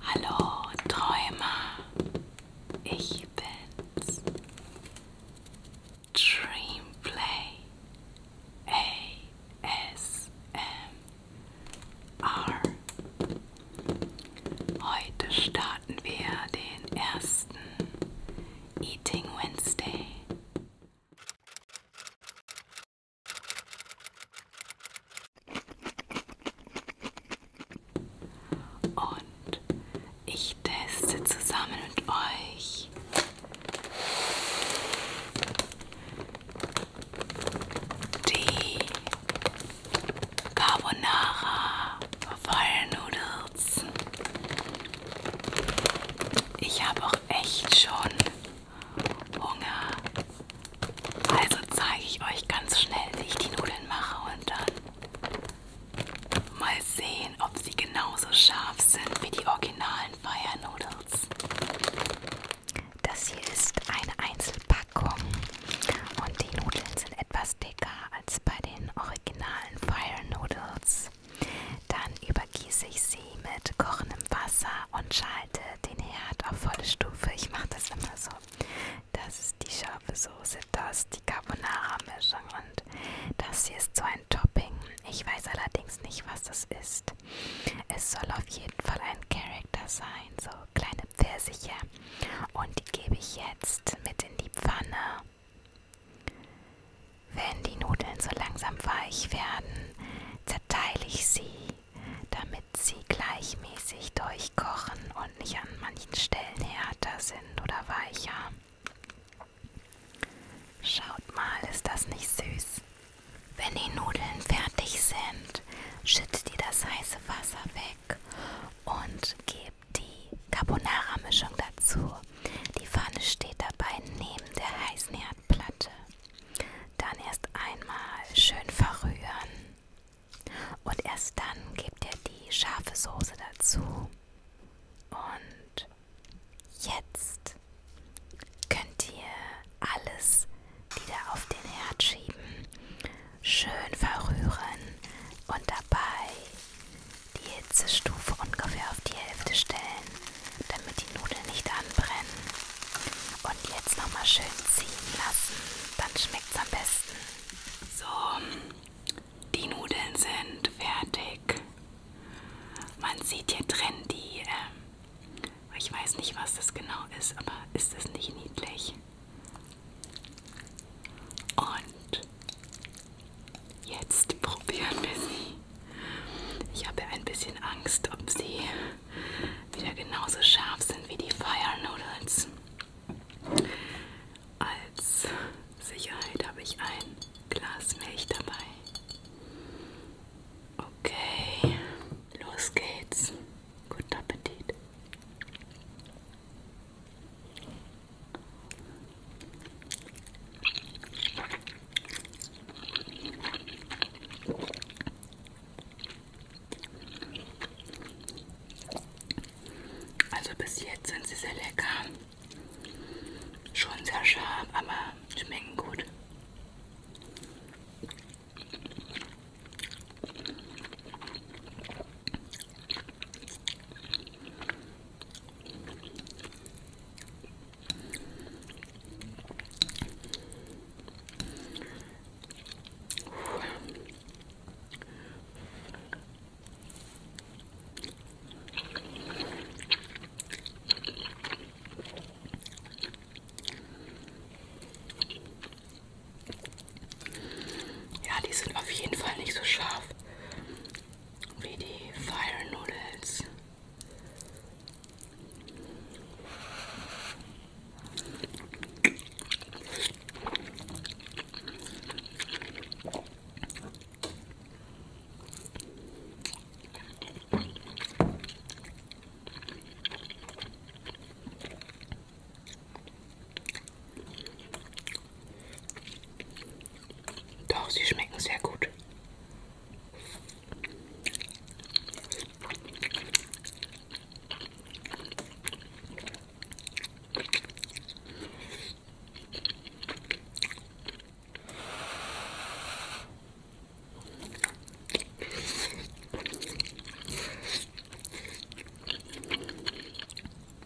Hallo Träumer, ich bin's. Dreamplay ASMR. Heute starten wir den ersten Eating Wednesday. Und ich teste zusammen mit euch die Carbonara Vollnudels. Ich habe auch echt schon Hunger. Also zeige ich euch ganz schnell, wie ich die Nudeln mache und dann mal sehen, ob sie genauso scharf sind wie die originalen Fire Noodles. Das hier ist eine Einzelpackung und die Nudeln sind etwas dicker als bei den originalen Fire Noodles. Dann über übergieße ich sie mit kochendem Wasser und schalte den Herd auf volle Stufe. Ich mache das immer so. Das ist die scharfe Soße, das die Carbonara-Mischung und das hier ist so ein Topping. Ich weiß allerdings nicht, was das ist. Es soll auf jeden Fall ein Character sein, so kleine Pfirsiche. Und die gebe ich jetzt mit in die Pfanne. Wenn die Nudeln so langsam weich werden, zerteile ich sie, damit sie gleichmäßig durchkochen und nicht an manchen Stellen härter sind oder weicher. Schaut mal, ist das nicht süß? Wenn die Nudeln fertig sind, schüttet ihr das heiße Wasser weg und gebt die Carbonara-Mischung dazu. Die Pfanne steht dabei neben der heißen Herdplatte. Dann erst einmal schön verrühren und erst dann gebt ihr die scharfe Soße dazu. Und jetzt könnt ihr alles wieder auf den Herd schieben, schön verrühren und dabei die Hitzestufe ungefähr auf die Hälfte stellen damit die Nudeln nicht anbrennen. Und jetzt nochmal schön ziehen lassen, dann schmeckt es am besten. So, die Nudeln sind fertig. Man sieht hier drin die, äh, ich weiß nicht, was das genau ist, aber ist das nicht niedlich? Und jetzt probieren wir sie. Ich habe ein bisschen Angst, ob sie wieder genauso scharf sind wie die Fire Noodles. Als Sicherheit habe ich ein Glas Milch dabei. Okay, los geht's. Guten Appetit. Also bis jetzt sind sie sehr lecker. Schon sehr scharf, aber schmecken gut. Ja, die sind auf jeden Fall nicht so scharf wie die Fire Noodles. Doch, sie schmecken sehr gut.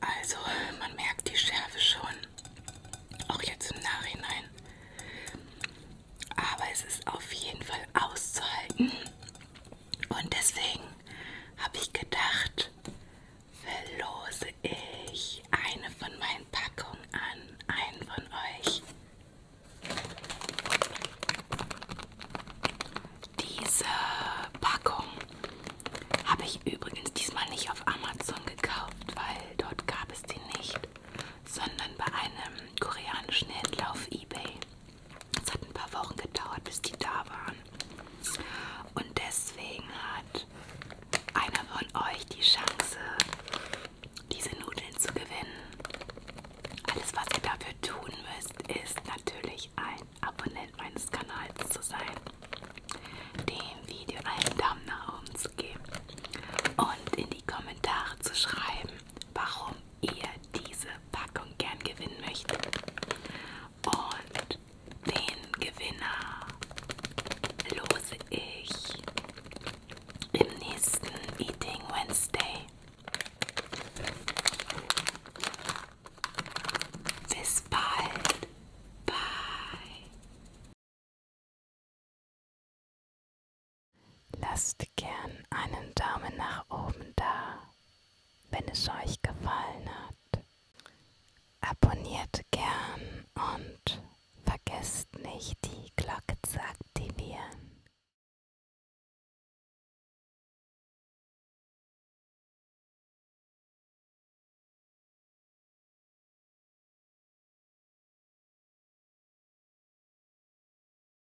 Also, man merkt die Schärfe schon, auch jetzt im Nachhinein. Aber es ist auf jeden Fall auszuhalten. Und deswegen habe ich gedacht, verlose ich eine von meinen Packungen an einen von euch. Diese Packung habe ich übrigens diesmal nicht auf Amazon gekauft, weil dort gab es die nicht, sondern bei einem koreanischen Händler auf eBay. Es hat ein paar Wochen gedauert, bis die da waren. Und deswegen hat einer von euch die Chance, diese Nudeln zu gewinnen. Alles, was ihr dafür tun müsst, ist natürlich ein Abonnent meines Kanals zu sein, dem Video einen Daumen nach oben zu geben und in die Kommentare zu schreiben, warum ihr diese Packung gern gewinnen möchtet. Und den Gewinner lose ich im nächsten Eating Wednesday. Bis bald. Bye. Lasst gern einen Daumen nach oben da wenn es euch gefallen hat. Abonniert gern und vergesst nicht, die Glocke zu aktivieren.